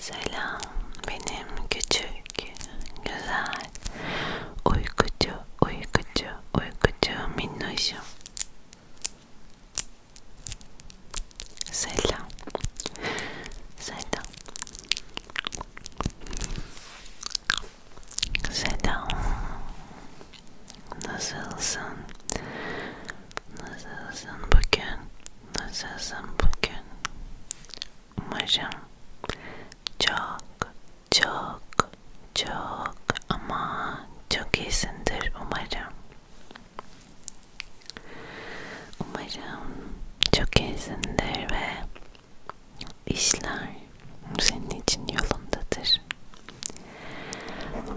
Selam benim küçük, güzel, uykucu, uykucu, uykucu minnoşum. Selam. Selam. Selam. Nasılsın? Nasılsın bugün? Nasılsın bugün? Umarım çok çok çok ama çok iyisindir umarım. Umarım çok iyisindir ve işler senin için yolundadır.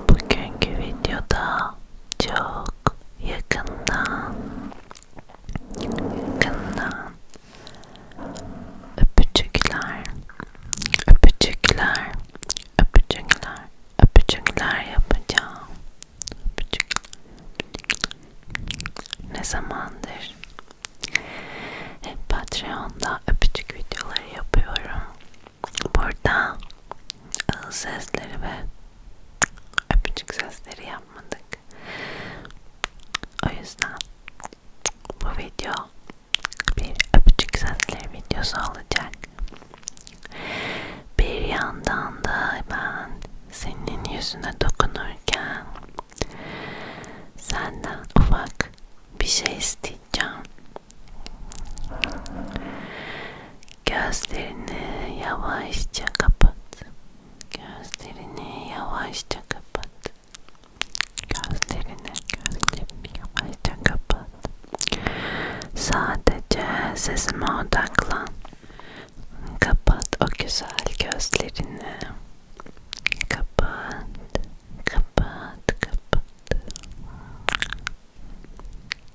Bugünkü videoda çok yakından Yakından öpücükler, öpücükler, öpücükler, öpücükler yapacağım. Öpücük. Ne zamandır hep Patreon'da öpücük videoları yapıyorum. Burada ağız sesleri ve öpücük sözleri yapmadık. O yüzden bu video bir öpücük sözleri videosu olacak. Bir yandan da ben senin yüzüne dokunurken senden ufak bir şey isteyeceğim. Gözlerini yavaşça kapat. Gözlerini yavaşça kapat. Gözlerini, gözlerini yavaşça kapat. Sadece sesime odaklan. Kapat o güzel gözlerini. Kapat, kapat, kapat.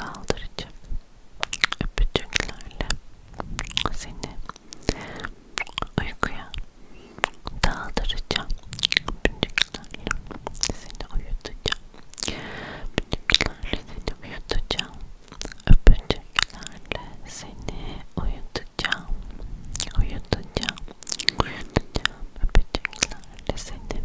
aldıracağım öpücüklerle seni uykuya daldıracağım öpücüklerle seni uyutacağım öpücüklerle seni uyutacağım öpücüklerle seni uyutacağım uyutacağım uyutacağım öpücüklerle seni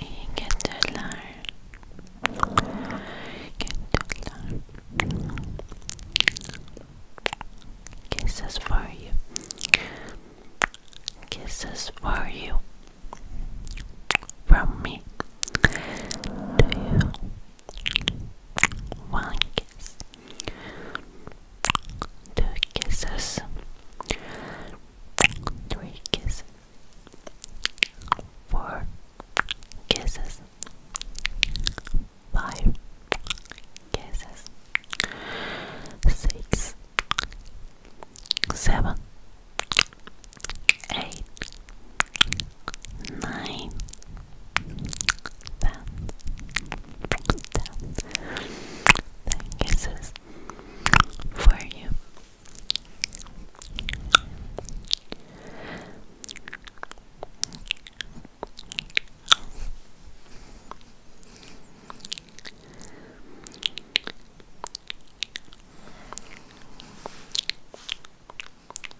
İyi geceler. Geceler. Kisses for you. Kisses for you. From me to you. One kiss. Two kisses. Three kisses. Four kisses. Five kisses. Six nine ten ten ten kisses for you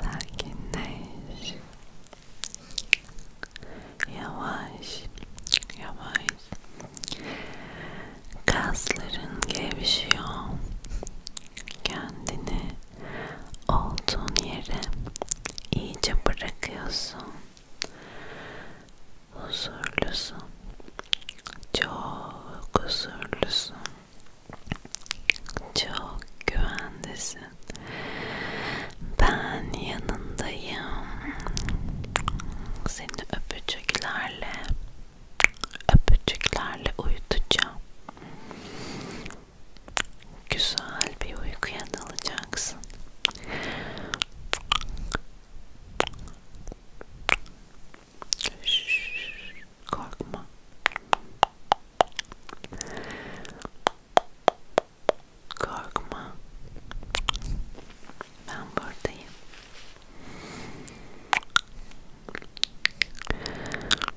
Sakinleş. Yavaş, yavaş. Kasların gevşiyor. Kendini Olduğun yere iyice bırakıyorsun. Huzurlusun. Çok huzurlusun. Çok güvendesin. Ben yanındayım. Seni öpücüklerle öpücüklerle uyutacağım güzel bir uykuya dalacaksın. Şşş, korkma. Korkma. Ben buradayım.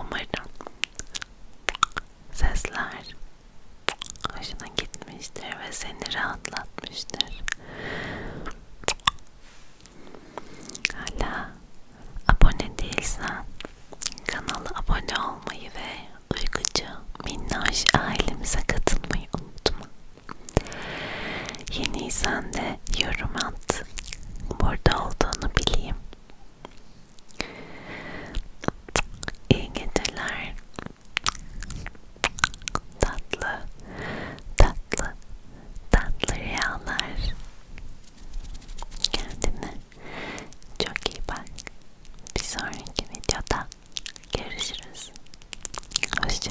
Umarım sesler hoşuna gitmiştir ve seni rahatlatmıştır. Hala abone değilsen kanala abone olmayı ve uykucu minnoş ailemize katılmayı unutma. Yeniysen de yorum at. Burada olduğunu bileyim. İyi geceler. Tatlı, tatlı, tatlı Kendine çok iyi bak. Bir sonraki videoda görüşürüz. Hoşça